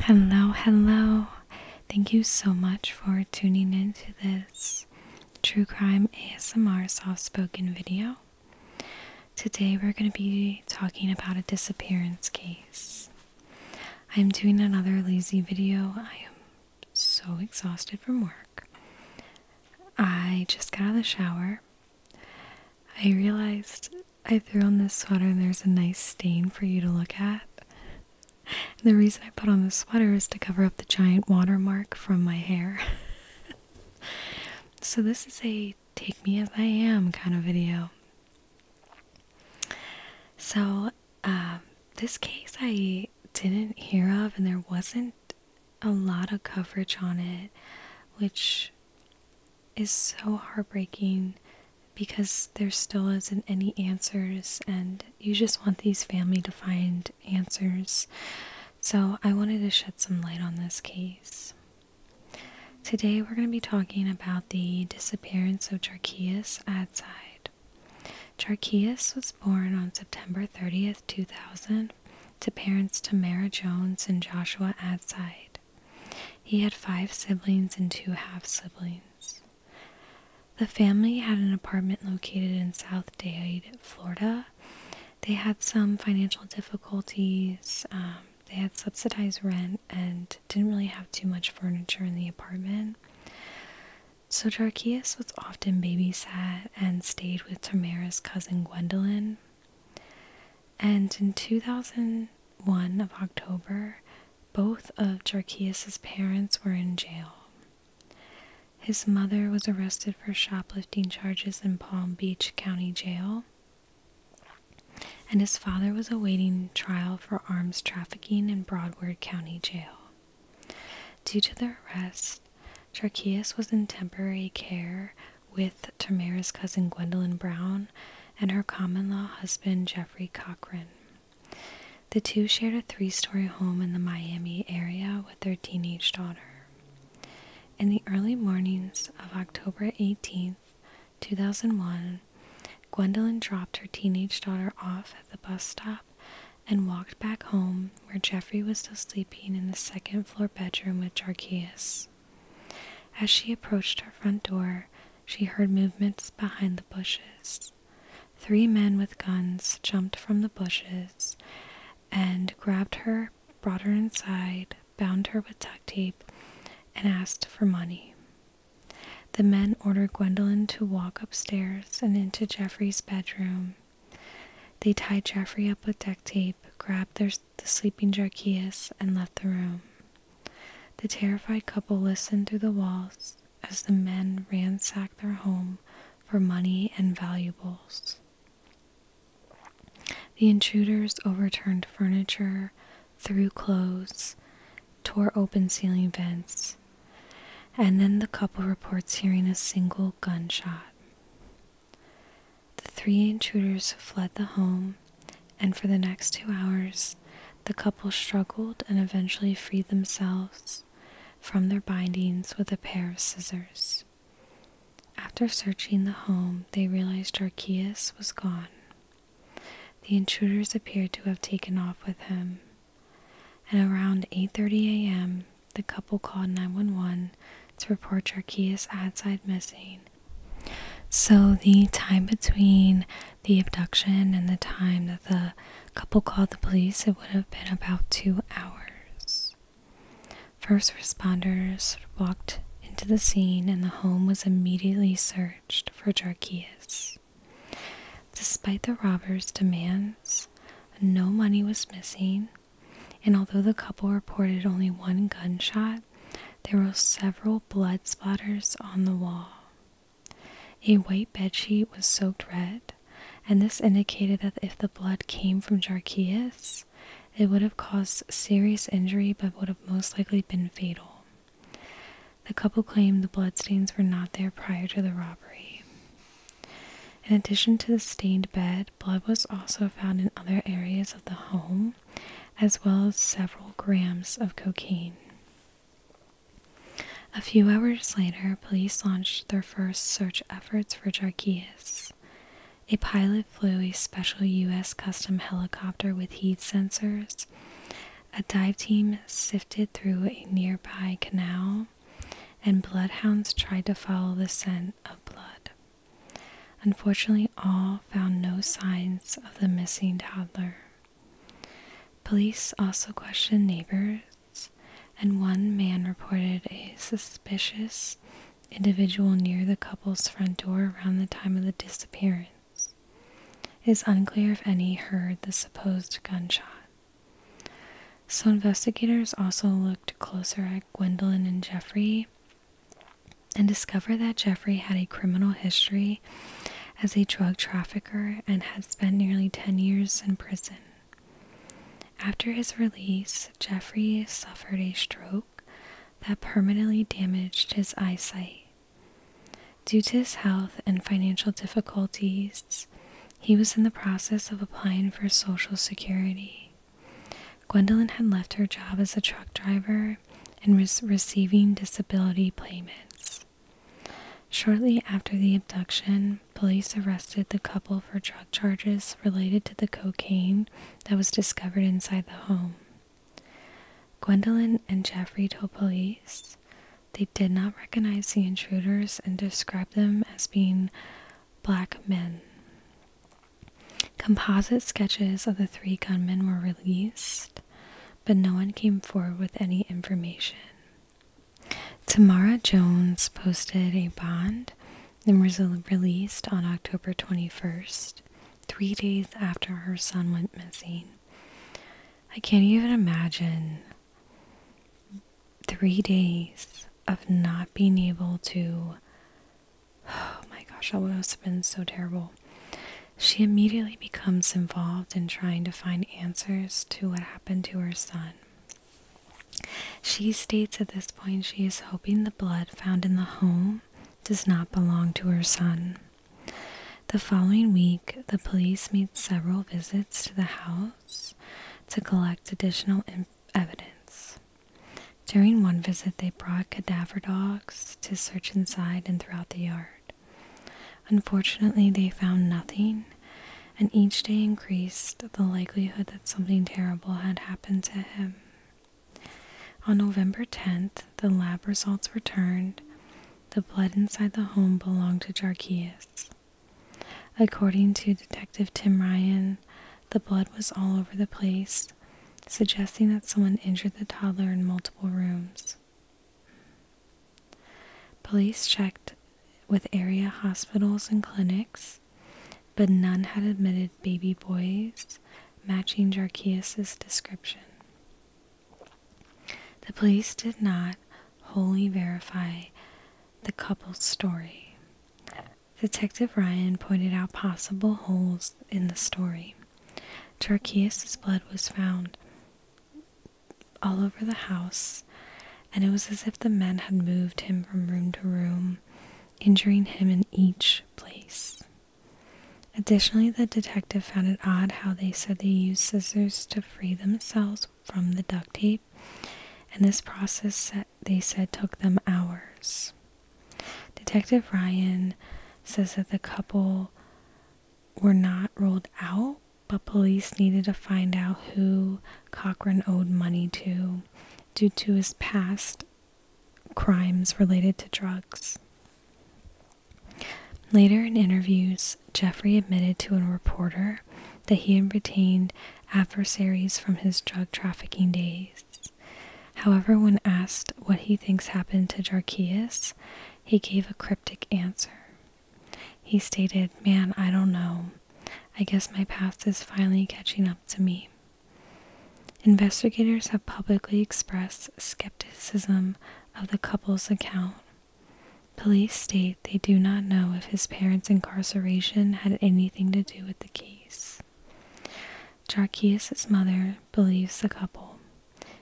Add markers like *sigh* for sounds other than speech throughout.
Hello, hello. Thank you so much for tuning in to this true crime ASMR soft spoken video. Today we're going to be talking about a disappearance case. I'm doing another lazy video. I am so exhausted from work. I just got out of the shower. I realized I threw on this sweater and there's a nice stain for you to look at. the reason I put on the sweater is to cover up the giant watermark from my hair. *laughs* so this is a take me as I am kind of video. So um, this case I didn't hear of and there wasn't a lot of coverage on it, which is so heartbreaking because there still isn't any answers, and you just want these family to find answers. So, I wanted to shed some light on this case. Today, we're going to be talking about the disappearance of Jarkias Adside. Jarkias was born on September 30th, 2000, to parents Tamara Jones and Joshua Adside. He had five siblings and two half siblings. The family had an apartment located in South Dade, Florida. They had some financial difficulties. Um, they had subsidized rent and didn't really have too much furniture in the apartment. So Jarchias was often babysat and stayed with Tamara's cousin Gwendolyn. And in 2001 of October, both of Jarchias's parents were in jail. His mother was arrested for shoplifting charges in Palm Beach County Jail, and his father was awaiting trial for arms trafficking in Broadward County Jail. Due to their arrest, Jarchias was in temporary care with Tamara's cousin Gwendolyn Brown and her common law husband Jeffrey Cochran. The two shared a three story home in the Miami area with their teenage daughter. In the early mornings of October 18, 2001, Gwendolyn dropped her teenage daughter off at the bus stop and walked back home where Jeffrey was still sleeping in the second floor bedroom with Jarkias. As she approached her front door, she heard movements behind the bushes. Three men with guns jumped from the bushes and grabbed her, brought her inside, bound her with duct tape, and asked for money. The men ordered Gwendolyn to walk upstairs and into Jeffrey's bedroom. They tied Jeffrey up with duct tape, grabbed their the sleeping Jarchias and left the room. The terrified couple listened through the walls as the men ransacked their home for money and valuables. The intruders overturned furniture, threw clothes, tore open ceiling vents, and then the couple reports hearing a single gunshot. The three intruders fled the home, and for the next two hours, the couple struggled and eventually freed themselves from their bindings with a pair of scissors. After searching the home, they realized Archeus was gone. The intruders appeared to have taken off with him. And around 8:30 a.m., the couple called 911 to report Jarkia's outside missing. So the time between the abduction and the time that the couple called the police, it would have been about two hours. First responders walked into the scene and the home was immediately searched for Jarkias. Despite the robbers' demands, no money was missing and although the couple reported only one gunshot, there were several blood splatters on the wall. A white bedsheet was soaked red, and this indicated that if the blood came from Jarchias, it would have caused serious injury but would have most likely been fatal. The couple claimed the bloodstains were not there prior to the robbery. In addition to the stained bed, blood was also found in other areas of the home, as well as several grams of cocaine. A few hours later, police launched their first search efforts for Jarkias. A pilot flew a special U.S. custom helicopter with heat sensors. A dive team sifted through a nearby canal, and bloodhounds tried to follow the scent of blood. Unfortunately, all found no signs of the missing toddler. Police also questioned neighbors, and one man reported a suspicious individual near the couple's front door around the time of the disappearance. It is unclear if any heard the supposed gunshot. So investigators also looked closer at Gwendolyn and Jeffrey and discovered that Jeffrey had a criminal history as a drug trafficker and had spent nearly 10 years in prison. After his release, Jeffrey suffered a stroke that permanently damaged his eyesight. Due to his health and financial difficulties, he was in the process of applying for Social Security. Gwendolyn had left her job as a truck driver and was receiving disability payments. Shortly after the abduction, police arrested the couple for drug charges related to the cocaine that was discovered inside the home. Gwendolyn and Jeffrey told police they did not recognize the intruders and described them as being black men. Composite sketches of the three gunmen were released, but no one came forward with any information. Tamara Jones posted a bond and was released on October 21st, three days after her son went missing. I can't even imagine three days of not being able to. Oh my gosh, that would have been so terrible. She immediately becomes involved in trying to find answers to what happened to her son. She states at this point she is hoping the blood found in the home does not belong to her son. The following week, the police made several visits to the house to collect additional in evidence. During one visit, they brought cadaver dogs to search inside and throughout the yard. Unfortunately, they found nothing, and each day increased the likelihood that something terrible had happened to him. On November 10th, the lab results were turned. The blood inside the home belonged to Jarchias. According to Detective Tim Ryan, the blood was all over the place, suggesting that someone injured the toddler in multiple rooms. Police checked with area hospitals and clinics, but none had admitted baby boys matching Jarchias' description. The police did not wholly verify the couple's story. Detective Ryan pointed out possible holes in the story. Tarkias' blood was found all over the house, and it was as if the men had moved him from room to room, injuring him in each place. Additionally, the detective found it odd how they said they used scissors to free themselves from the duct tape, and this process they said took them hours. Detective Ryan says that the couple were not ruled out, but police needed to find out who Cochran owed money to due to his past crimes related to drugs. Later in interviews, Jeffrey admitted to a reporter that he had retained adversaries from his drug trafficking days. However, when asked what he thinks happened to Jarchias, he gave a cryptic answer. He stated, Man, I don't know. I guess my past is finally catching up to me. Investigators have publicly expressed skepticism of the couple's account, Police state they do not know if his parents' incarceration had anything to do with the case. Jarkias' mother believes the couple.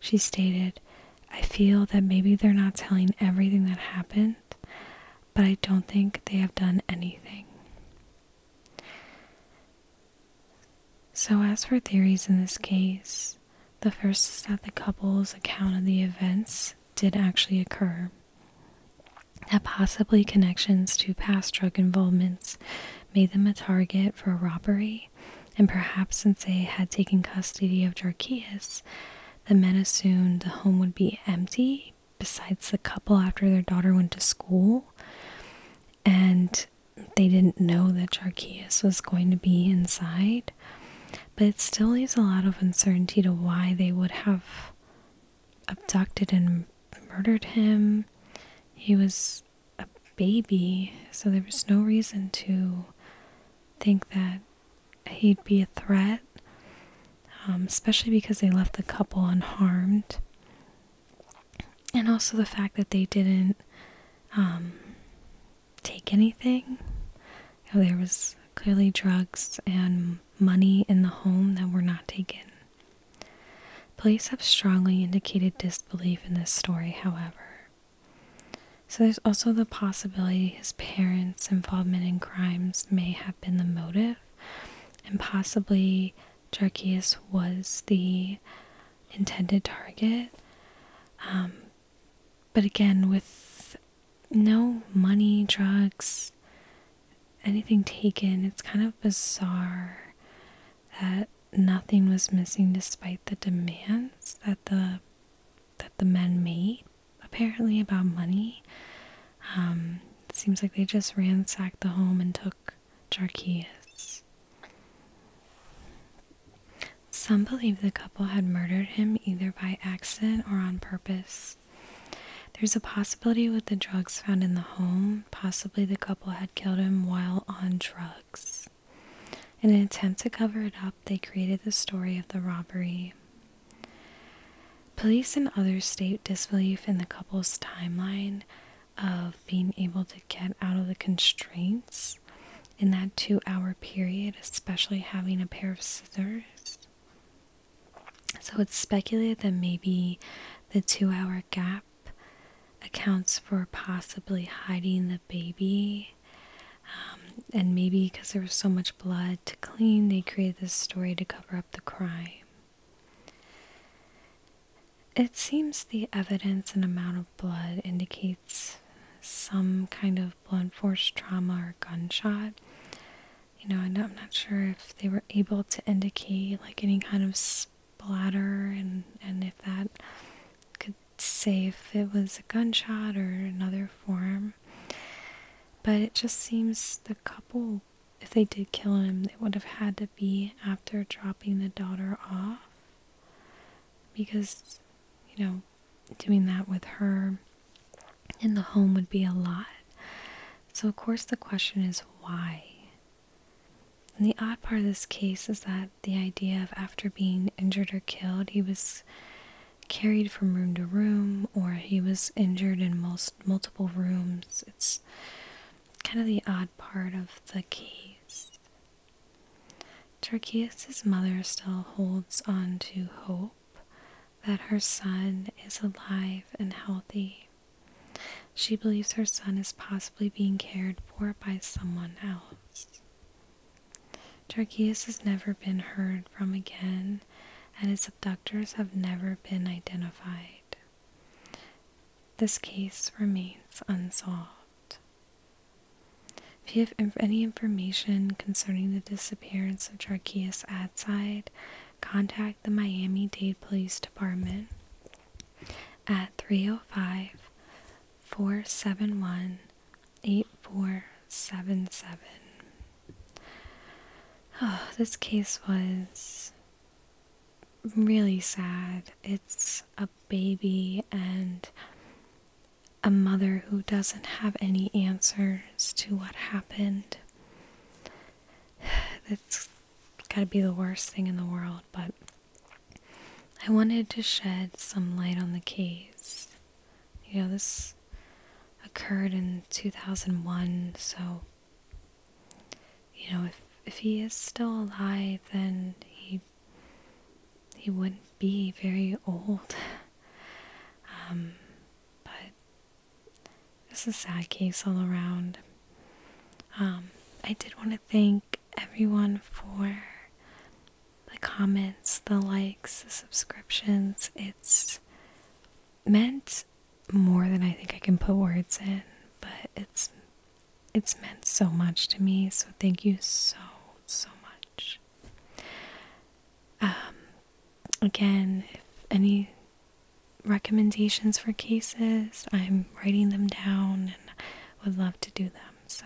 She stated, I feel that maybe they're not telling everything that happened, but I don't think they have done anything. So, as for theories in this case, the first is that the couple's account of the events did actually occur that possibly connections to past drug involvements made them a target for robbery, and perhaps since they had taken custody of Jarchias, the men assumed the home would be empty besides the couple after their daughter went to school, and they didn't know that Jarchias was going to be inside but it still leaves a lot of uncertainty to why they would have abducted and murdered him. He was a baby, so there was no reason to think that he'd be a threat, um, especially because they left the couple unharmed. And also the fact that they didn't um, take anything. Oh, there was clearly drugs and money in the home that were not taken. Police have strongly indicated disbelief in this story, however. So there's also the possibility his parents' involvement in crimes may have been the motive, and possibly Jarkius was the intended target. Um, but again, with no money, drugs, anything taken, it's kind of bizarre that nothing was missing despite the demands that the that the men made apparently about money. Um, it seems like they just ransacked the home and took Jarkias. Some believe the couple had murdered him either by accident or on purpose. There's a possibility with the drugs found in the home, possibly the couple had killed him while on drugs. In an attempt to cover it up, they created the story of the robbery. Police and others state disbelief in the couple's timeline of being able to get out of the constraints in that two hour period, especially having a pair of scissors. So it's speculated that maybe the two hour gap accounts for possibly hiding the baby. Um, and maybe because there was so much blood to clean, they created this story to cover up the crime. It seems the evidence and amount of blood indicates some kind of blunt force trauma or gunshot. You know, I'm not sure if they were able to indicate like any kind of splatter and, and if that could say if it was a gunshot or another form. But it just seems the couple, if they did kill him, it would have had to be after dropping the daughter off. Because, you know, doing that with her in the home would be a lot. So, of course, the question is why? And the odd part of this case is that the idea of after being injured or killed, he was carried from room to room or he was injured in most multiple rooms. It's kind of the odd part of the case. Turkius's mother still holds on to hope that her son is alive and healthy. She believes her son is possibly being cared for by someone else. Turkius has never been heard from again, and his abductors have never been identified. This case remains unsolved. If you have any information concerning the disappearance of Jarkias Adside, contact the Miami Dade Police Department at 305 471 8477. Oh, this case was really sad. It's a baby, and a mother who doesn't have any answers to what happened. *sighs* That's gotta be the worst thing in the world, but I wanted to shed some light on the case. You know, this occurred in 2001, so, you know, if, if he is still alive, then he he wouldn't be very old. Um, but this is a sad case all around. Um, I did want to thank everyone for the comments, the likes, the subscriptions. It's meant more than I think I can put words in, but it's it's meant so much to me, so thank you so, so much. Um, again, if any recommendations for cases, I'm writing them down and would love to do them. So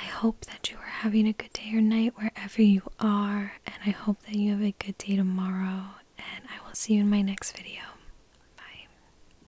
I hope that you are having a good day or night wherever you are, and I hope that you have a good day tomorrow, and I will see you in my next video. Bye.